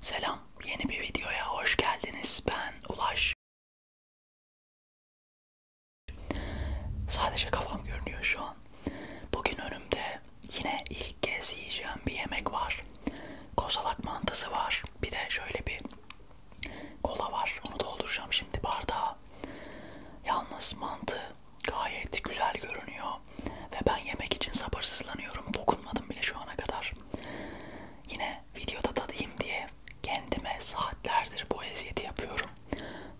Selam, yeni bir videoya hoş geldiniz. Ben Ulaş. Sadece kafam görünüyor şu an. Bugün önümde yine ilk kez yiyeceğim bir yemek var. Kozalak mantısı var. Bir de şöyle bir kola var. Onu dolduracağım şimdi bardağa. Yalnız mantı gayet güzel görünüyor. Ve ben yemek için sabırsızlanıyorum. Dokunmadım bile şu ana kadar. Yine videoda tadayım diye kendime saatlerdir bu eziyeti yapıyorum.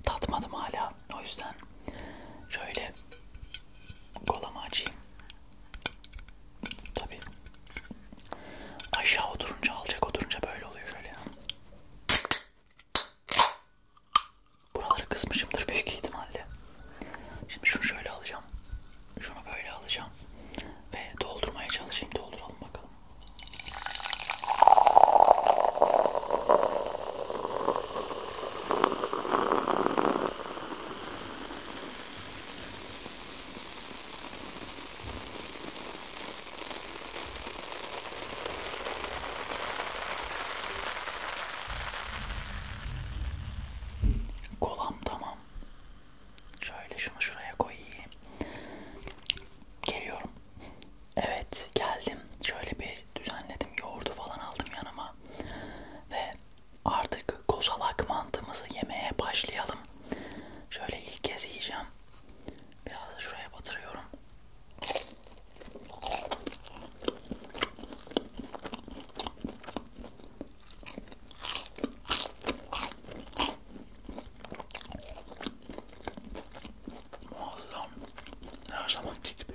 Tatmadım hala. O yüzden şöyle kolamı açayım. Tabii. Aşağı oturunca alacak oturunca böyle oluyor şöyle ya. Buraları kısmışımdır büyük ihtimalle. Şimdi şunu şöyle alacağım. Şunu böyle alacağım. Ve doldurmaya çalışayım. Dolduralım bakalım. Kolam tamam. Şöyle şunu şuraya koyayım. Geliyorum. Evet geldim. Şöyle bir düzenledim. Yoğurdu falan aldım yanıma. Ve Artık kozalak mantımızı yemeye başlayalım. Şöyle ilk kez yiyeceğim. Biraz da şuraya batırıyorum. Muazzam. Her zamanki gibi.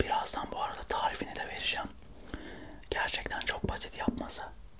Birazdan bu arada tarifini de vereceğim. Gerçekten çok basit yapması.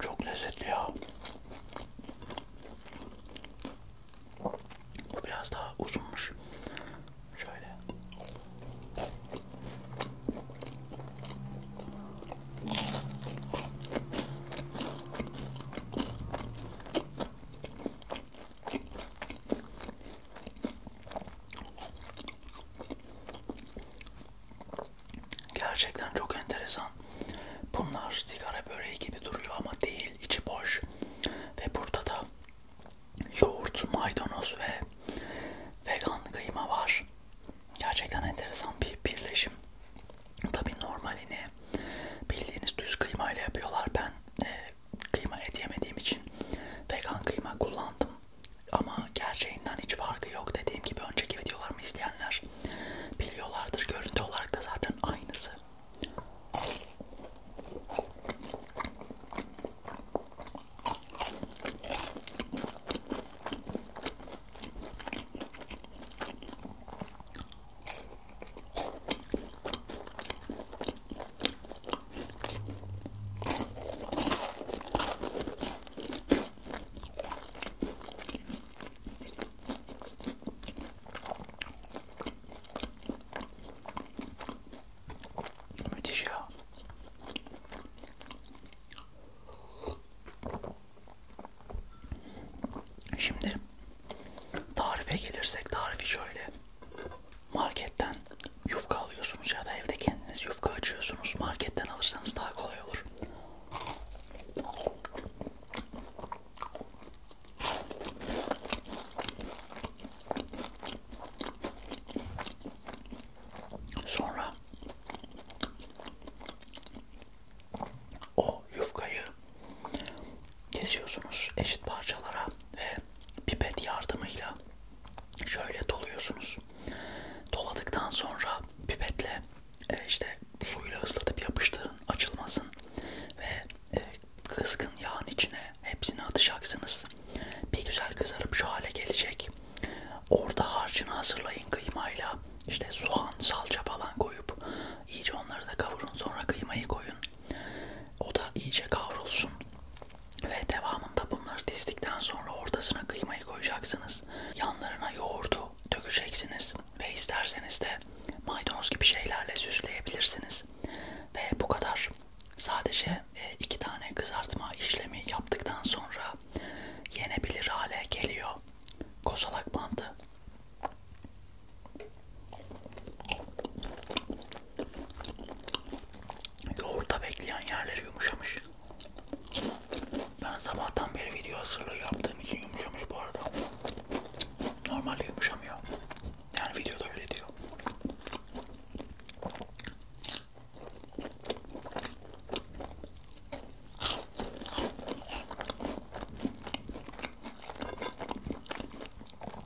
Çok lezzetli ya. Bu biraz daha uzunmuş. Şöyle. Gerçekten çok enteresan. Bunlar sigara böreği gibi duruyor ama değil, içi boş. Ve burada da yoğurt, maydanoz ve vegan kıyma var. Gerçekten enteresan bir birleşim. Tabi normalini bildiğiniz düz kıyma ile yapıyorlar. Ben e, kıyma et yemediğim için vegan kıyma kullandım. Ama gerçeğinden hiç farkı yok. Dediğim gibi önceki videolarımı izleyenler biliyorlardır. Görüntü olarak da zaten aynısı. Müthiş ya. Şimdi tarife gelirsek tarifi şöyle marketten yufka alıyorsunuz ya da evde kendiniz yufka açıyorsunuz. Marketten alırsanız daha kolay olur. Sonra o yufkayı kesiyorsunuz eşit parçalara ve pipet yardımıyla şöyle doluyorsunuz. Doladıktan sonra pipetle e, işte suyla ıslatıp yapıştırın, açılmasın ve e, kızgın yağın içine hepsini atacaksınız. Bir güzel kızarıp şu hale gelecek. Orada harcını hazırlayın kıymayla. İşte soğan, salça falan koyup iyice onları da kavurun. Sonra kıymayı koyun. O da iyice kavrulsun. Ve devamında bunları dizdikten sonra ortasına kıymayı koyacaksınız. Yanlarına yoğurdu dökeceksiniz ve isterseniz de maydanoz gibi şeylerle süsleyebilirsiniz. Ve bu kadar. Sadece e, iki tane kızartma işlemi yaptıktan sonra yenebilir hale geliyor kozalak mantı. Yoğurta bekleyen yerleri yumuşamış. Ben sabahtan beri video hazırlığı yaptığım için yumuşamış bu arada. Normalde yumuşamıyor. Yani videoda öyle diyor.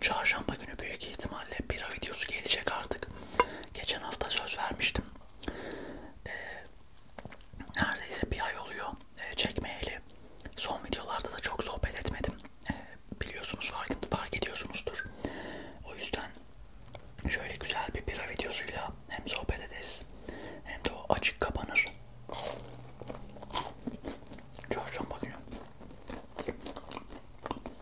Çarşamba günü büyük ihtimalle bira videosu gelecek artık. Geçen hafta söz vermiştim e, neredeyse bir ay oluyor e, çekmeyeli. Son videolarda da çok sohbet etmedim. E, biliyorsunuz fark, fark ediyorsunuzdur. O yüzden şöyle güzel bir bira videosuyla hem sohbet ederiz hem de o açık kapanır. Çarşamba günü.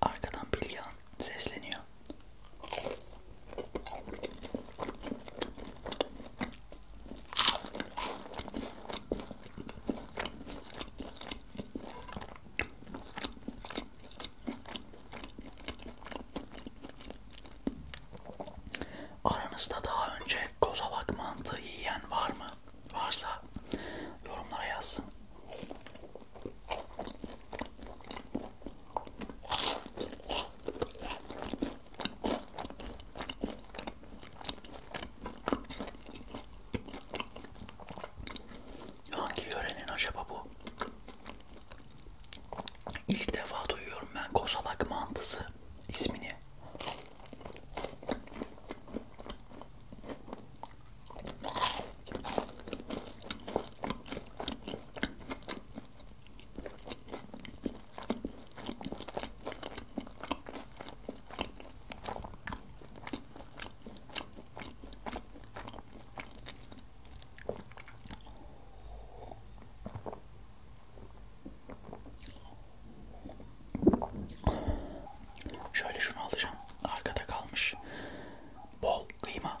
Arkadan Bilgehan sesleniyor. Aranızda daha önce kozalak mantığı yiyen var mı? Varsa yorumlara yazsın. Hangi yörenin acaba bu? İlk defa duyuyorum ben Kosalak mantısı ismini. Şöyle şunu alacağım. Arkada kalmış. Bol kıyma.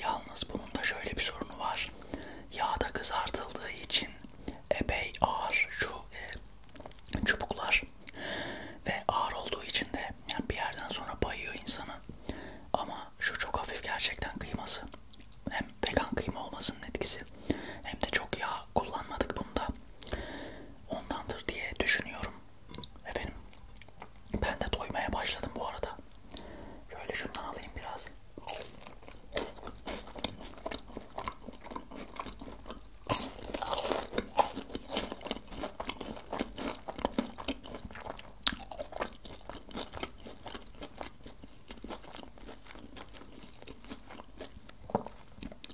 Yalnız bunun da şöyle bir sorunu var. Yağda kızartıldığı için epey ağır şu e, çubuklar ve ağır olduğu için de yani bir yerden sonra bayıyor insanı. Ama şu çok hafif gerçekten kıyması. Hem vegan kıyma olmasının etkisi hem de çok yağ kullanmadık bunda. Ondandır diye düşünüyorum. Efendim ben de doymaya başladım bu arada. Şöyle şundan alayım biraz.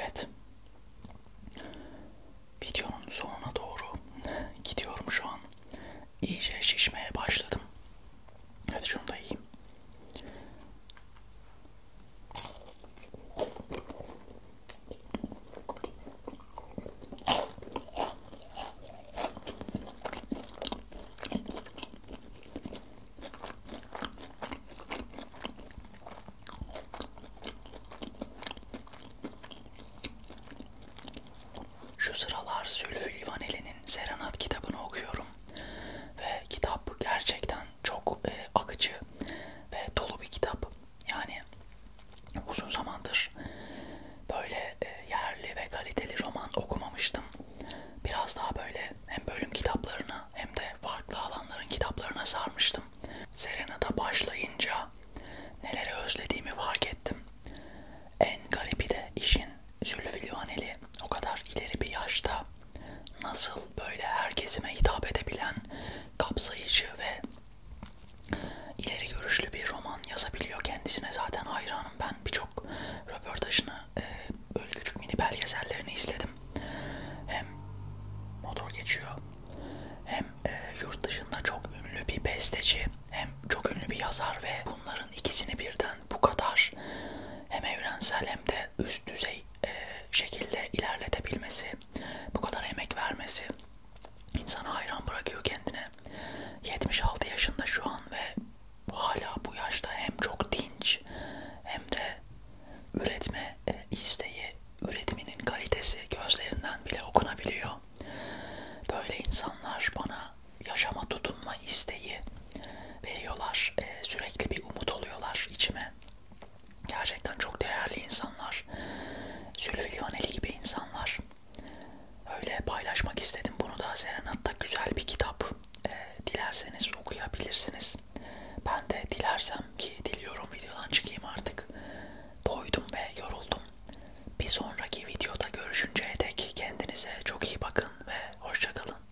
Evet. Videonun sonuna doğru gidiyorum şu an. İyice şişmeye başladım. Hadi şunu da yiyeyim. Şu sıralar Zülfü Livaneli'nin Serenat kitabını okuyorum ve kitap gerçekten çok e, akıcı ve dolu bir kitap. Yani uzun zamandır böyle e, yerli ve kaliteli roman okumamıştım. Biraz daha böyle hem bölüm kitaplarına hem de farklı alanların kitaplarına sarmıştım. Serena'da başlayınca neleri özlediğimi fark ettim. En garibi de işin Zülfü Livaneli o kadar ileri bir yaşta nasıl böyle her kesime hitap edebilen kapsayıcı ve ileri görüşlü bir roman yazabiliyor. Kendisine zaten hayranım. Ben birçok röportajını, e, böyle küçük mini belgesellerini izledim. Hem motor geçiyor, hem e, yurt dışında çok ünlü bir besteci, hem çok ünlü bir yazar ve bunların ikisini birden bu kadar hem evrensel hem de üst düzey e, şekilde ilerletebilmesi, bu kadar emek vermesi insana hayran bırakıyor kendine. 76 yaşında şu an ve hala bu yaşta hem çok dinç hem de üretme e, isteği, üretiminin kalitesi gözlerinden bile okunabiliyor. Böyle insanlar bana yaşama tutunma isteği veriyorlar, e, sürekli bir umut oluyorlar içime. Gerçekten çok değerli insanlar. Zülfü Livaneli gibi insanlar. Öyle paylaşmak istedim bunu da. Serenat'ta güzel bir kitap. E, dilerseniz okuyabilirsiniz. Ben de dilersem ki diliyorum videodan çıkayım artık. Doydum ve yoruldum. Bir sonraki videoda görüşünceye dek kendinize çok iyi bakın ve hoşçakalın.